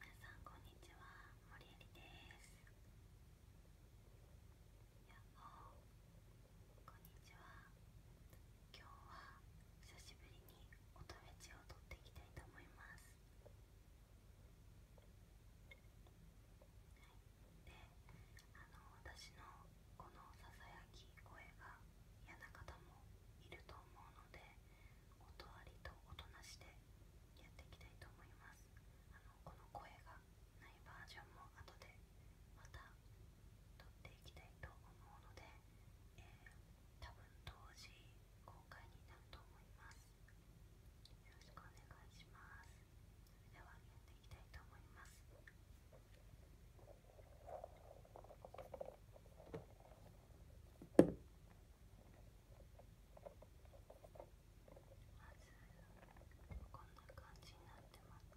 皆さんこんにちは、森えりですこんにちは今日は久しぶりに音フェチを撮っていきたいと思いますで、あの私のこのさき声が嫌な方もいると思うので音あと音なしでやっていきたいと思いますあのこの声がないバージョンも後でまた撮っていきたいと思うので、え多分当時公開になると思いますよろしくお願いしますそれではやっていきたいと思いますこんな感じになってます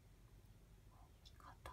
肩あ止まった。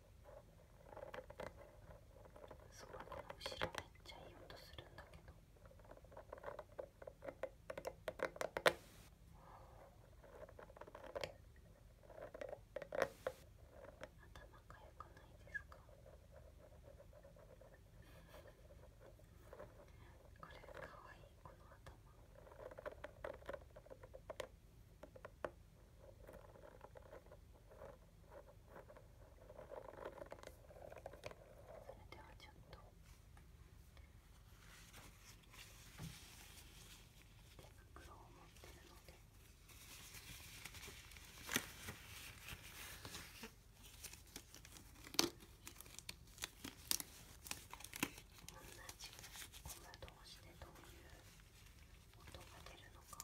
そうこの後ろめっちゃいい音するんだけど頭かゆくないですかこれかわいいこの頭。ではちょっと手袋を持ってるので。同じゴム同士でどういう音が出るのか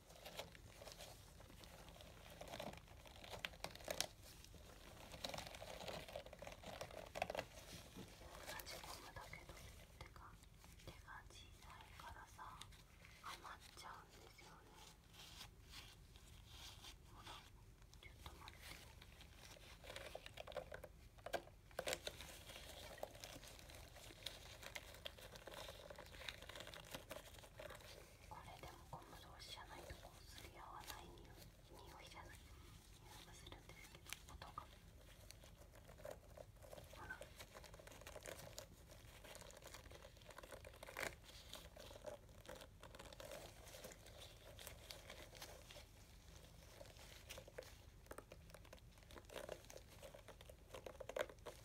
閉じ込むだけど手が手が小さいからさ余っちゃうんですよねほらちょっと待って。ここれでもゴム同士じゃないとこうすり合わない匂いいじゃない匂いがするんですけど音がほら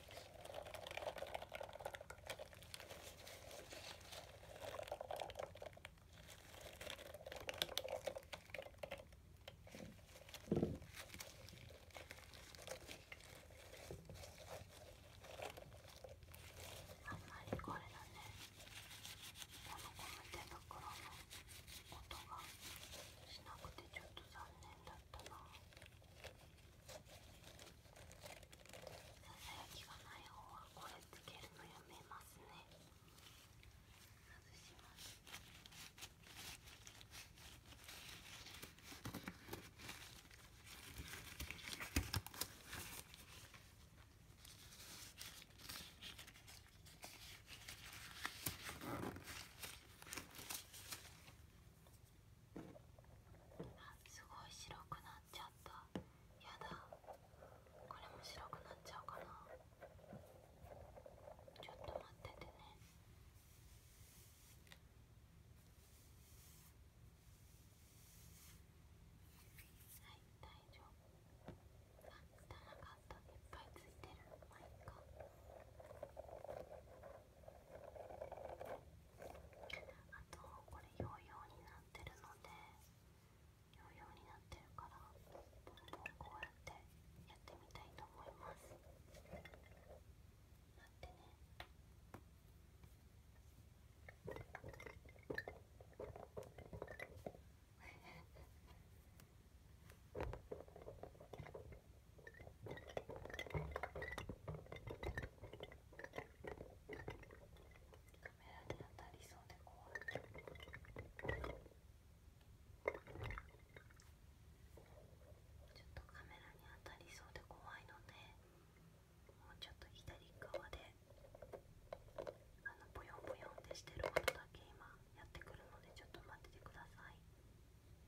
あんまりこれだねこのゴム手袋の音がしなくてちょっと残念だったな。さやきがない方はこれつけるのやめますね外しますこすごい白くなっちゃったやだこれも白くなっちゃうかなちょっと待っててねはい大丈夫あ汚かったいっぱいついてるまあいいか。あとこれヨーヨーになってるのでヨーヨーになってるからポンポンこうやってやってみたいと思います待ってねに当たりそうで怖いちょっとカメラに当たりそうで怖いのでもうちょっと左側であのボヨンボヨンってしてることだけ今やってくるのでちょっと待っててください。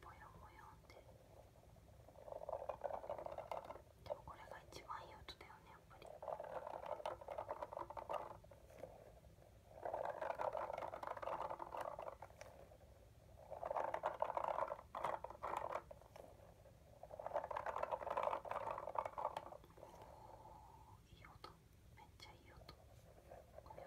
ぼよぼよってでもこれが一番いい音だよねやっぱりおいい音めっちゃいい音これを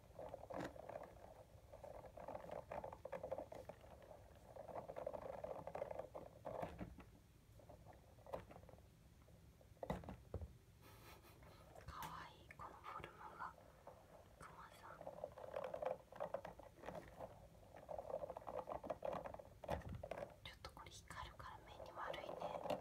かわいいこのフォルムがクマさん。ちょっとこれ光るから目に悪いね。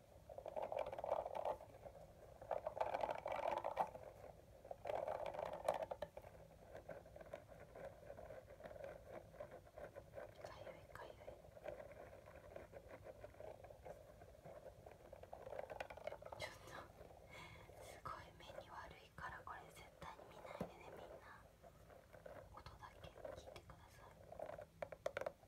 ちょっと、すごい目に悪いからこれ絶対に見ないでねみんな音だけ聞いてください。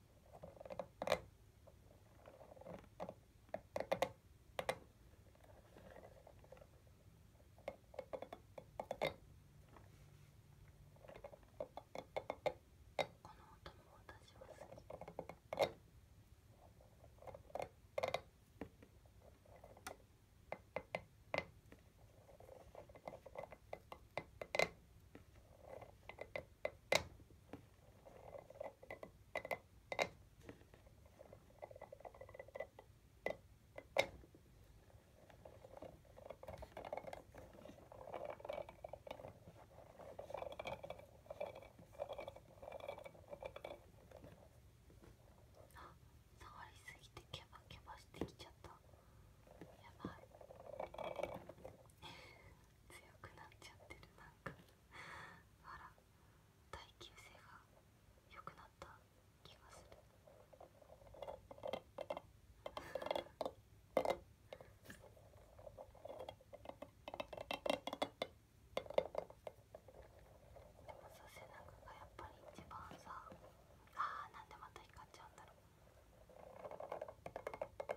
私は好き。こ触りすぎてケバケバしてきちゃったやばい強くなっちゃってるなんか。あら耐久性が良くなった気がするでも、さ背中がやっぱり一番さあーなんでまた光っちゃうんだろう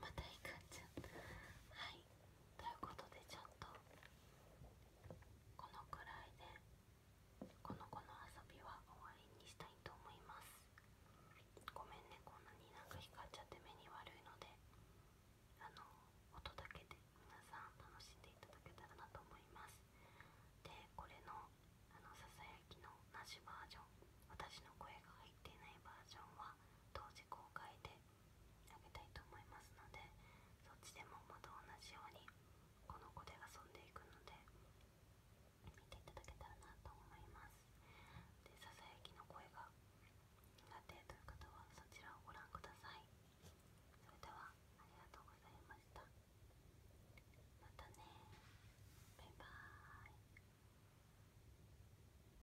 またいかんちゃんはいということでちょっとこのくらいでこの子の遊びは終わりにしたいと思いますごめんねこんなになんか光っちゃって目に悪いのであの音だけで皆さん楽しんでいただけたらなと思いますでこれのあのささやきのなしバージョン私の声が入っていないバージョンは当時公開であげたいと思いますのでそっちでもまた同じようにこの子で遊んでいくので見ていただけたらなと思いますでささやきの声が苦手という方はそちらをご覧くださいそれではありがとうございましたまたねバイバーイ